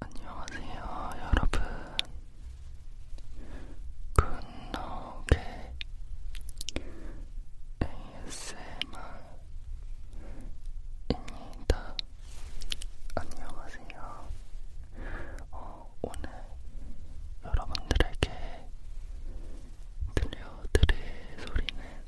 안녕하세요, 여러분. 굿노게 ASMR입니다. 안녕하세요. 어, 오늘 여러분들에게 들려드릴 소리는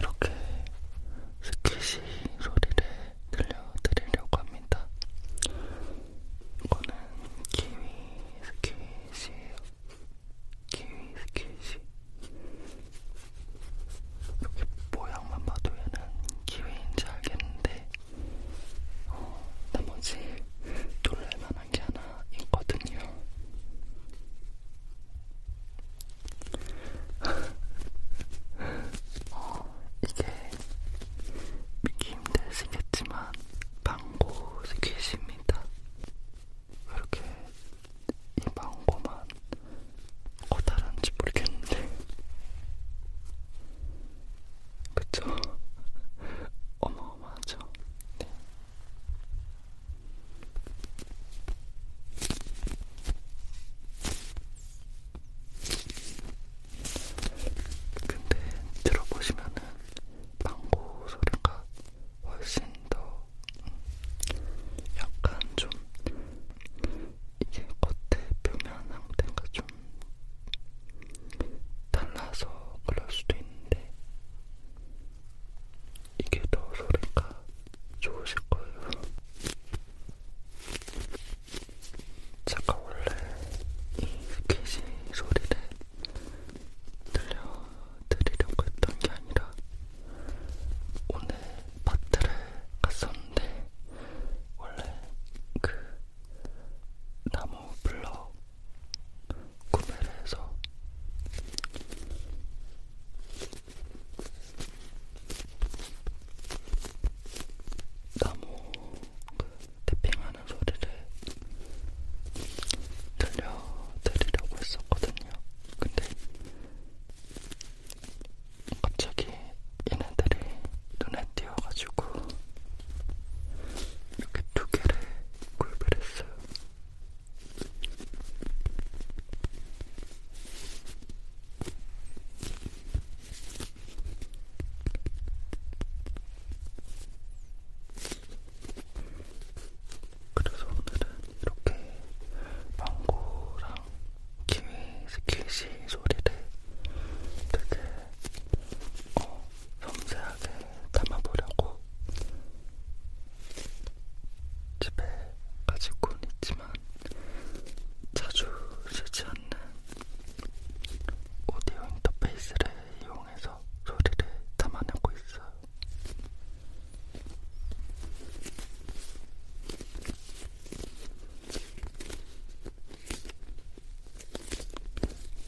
이렇게 스키시 소리를 들려드리려고 합니다. 이거는 키위 스키시 키위 스키시 이렇게 모양만 봐도 얘는 키위인지 알겠는데 어, 나머지 놀랄만한 게 하나 있거든요. 어, 이게 믿기 힘드시겠지만 방고 스키시입니다. 있습니다. 이렇게 이 망고만 커다란지 모르겠는데 그쵸? 어마어마하죠? 네. 근데 들어보시면은 방구 소리가 훨씬 더 음, 약간 좀 이게 겉에 표면 상태가 좀 달라서 그럴 수도 있는데 이게 더 소리가 좋으실 거예요. 제가 원래 이 스케치 소리를 들려드리려고 했던 게 아니라 오늘 마트를 갔었는데 원래 그 나무 블럭 구매를 해서 나무 탭핑하는 소리를 들려드리려고 했었거든요. 근데 갑자기 얘네들이 눈에 띄어가지고 이렇게 두 개를 구입을 했어요. 그래서 오늘은 이렇게 망고랑 키위 스키시 소리를 되게 어, 섬세하게 담아보려고 집에 가지고는 있지만 자주 쓰지 않는 오디오 인터페이스를 이용해서 소리를 담아내고 있어요.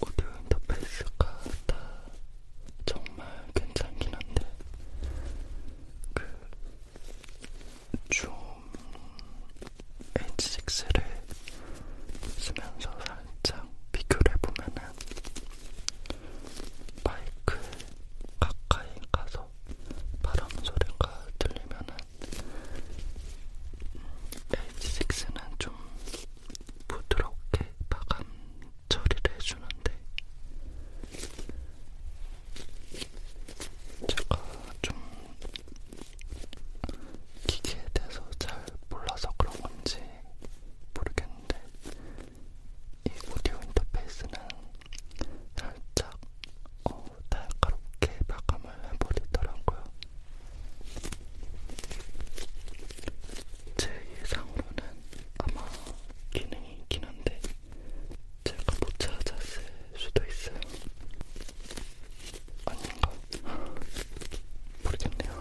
오디오 인터페이스가 다 정말 괜찮긴 한데 그좀 H6를 쓰면서 살 살짝 비교를 해보면은 마이크 가까이 가서 바람 소리가 들리면은 H6는 좀 부드럽게 마감 처리를 해주는데 제가 좀 기계에 대해서 잘 몰라서 그런 건지 모르겠는데 이 오디오 인터페이스는 살짝 어, 날카롭게 마감을 해버리더라고요. 제 예상으로는 아마 기능이 있긴 한데 제가 못 찾았을 수도 있어요. 아닌가? 모르겠네요.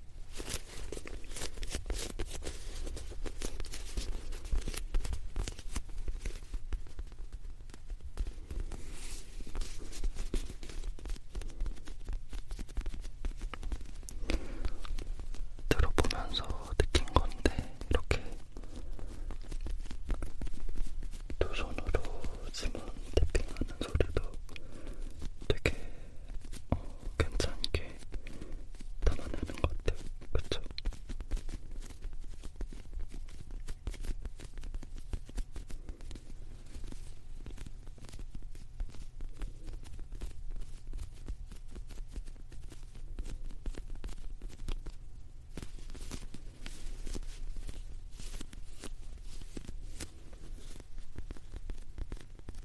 들어보면서 느낀 건데, 이렇게 두 손으로 지문 탭핑하는 소리도 되게 어, 괜찮게 담아내는 것 같아요. 그쵸? 어,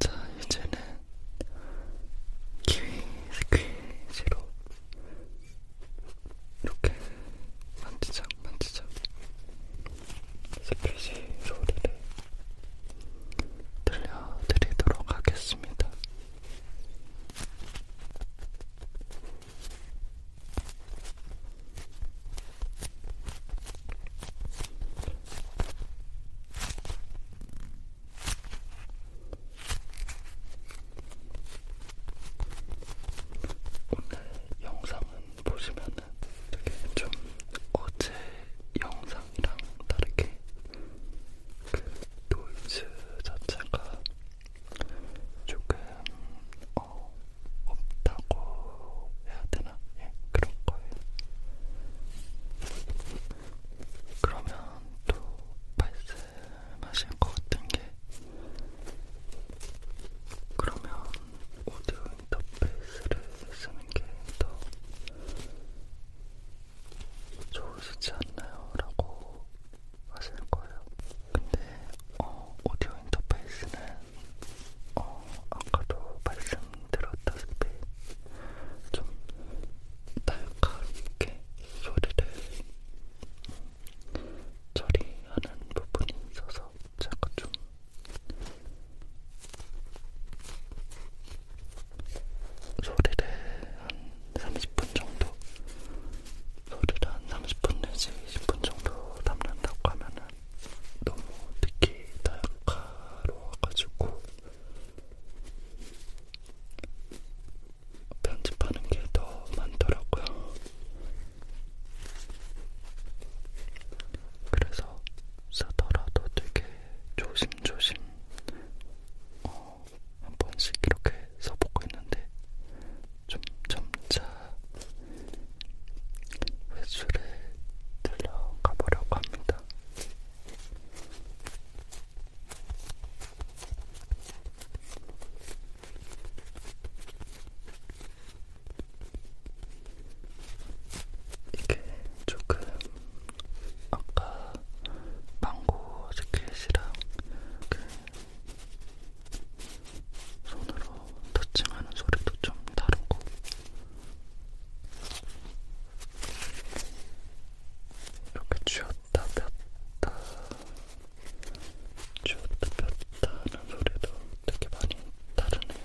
자, 이제는 키위 스퀴즈로 이렇게 만지작 만지작 스퀴지 소리를 들려드리도록 하겠습니다. 오늘 영상은 보시면은 되게 좀 어제 영상이랑 다르게 그 노이즈 자체가 조금 어 어, 없다고 해야 되나? 예, 그런 거예요. 그러면 또 말씀하신 것 같은 게 그러면 오디오 인터페이스를 쓰는 게 더 좋으시지 않나요? 라고 하실 거예요. 근데 어, 오디오 인터페이스는 어, 아까도 말씀드렸다시피 좀 날카롭게 소리를 처리하는 부분이 있어서 제가 좀 소리를 한 30분 정도 소리를 한 30분 내지 20분 정도 담는다고 하면은 너무 특히 다양가로워가지고 편집하는 게 더 많더라고요. 그래서 쓰더라도 되게 조심조심 어, 한 번씩 이렇게 써보고 있는데 좀 점차 회수를 들러가 보려고 합니다. 이게 조금 아까 망고 스케치랑 그 손으로 터칭하는 소리도 좀 다르고 이렇게 쥐었다 폈다 쥐었다 폈다 하는 소리도 되게 많이 다르네요.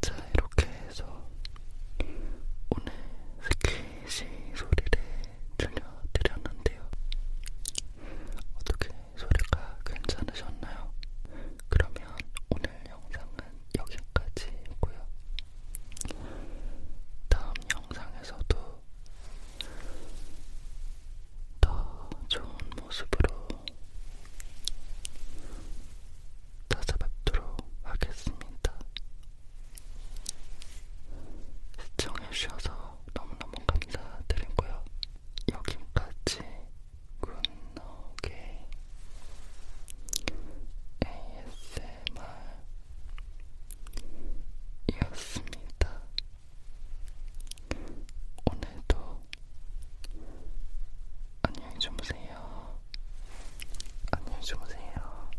자, 이렇게 해서 오늘 스킨 시 소리를 들려드렸는데요. 어떻게 소리가 괜찮으셨나요? 그러면 오늘 영상은 여기까지고요. 다음 영상에서도 더 좋은 모습으로 찾아뵙도록 하겠습니다. 시청해주셔서 너무너무 감사드리고요. 여기까지 굿노게 ASMR이었습니다. 오늘도 안녕히 주무세요. 안녕히 주무세요.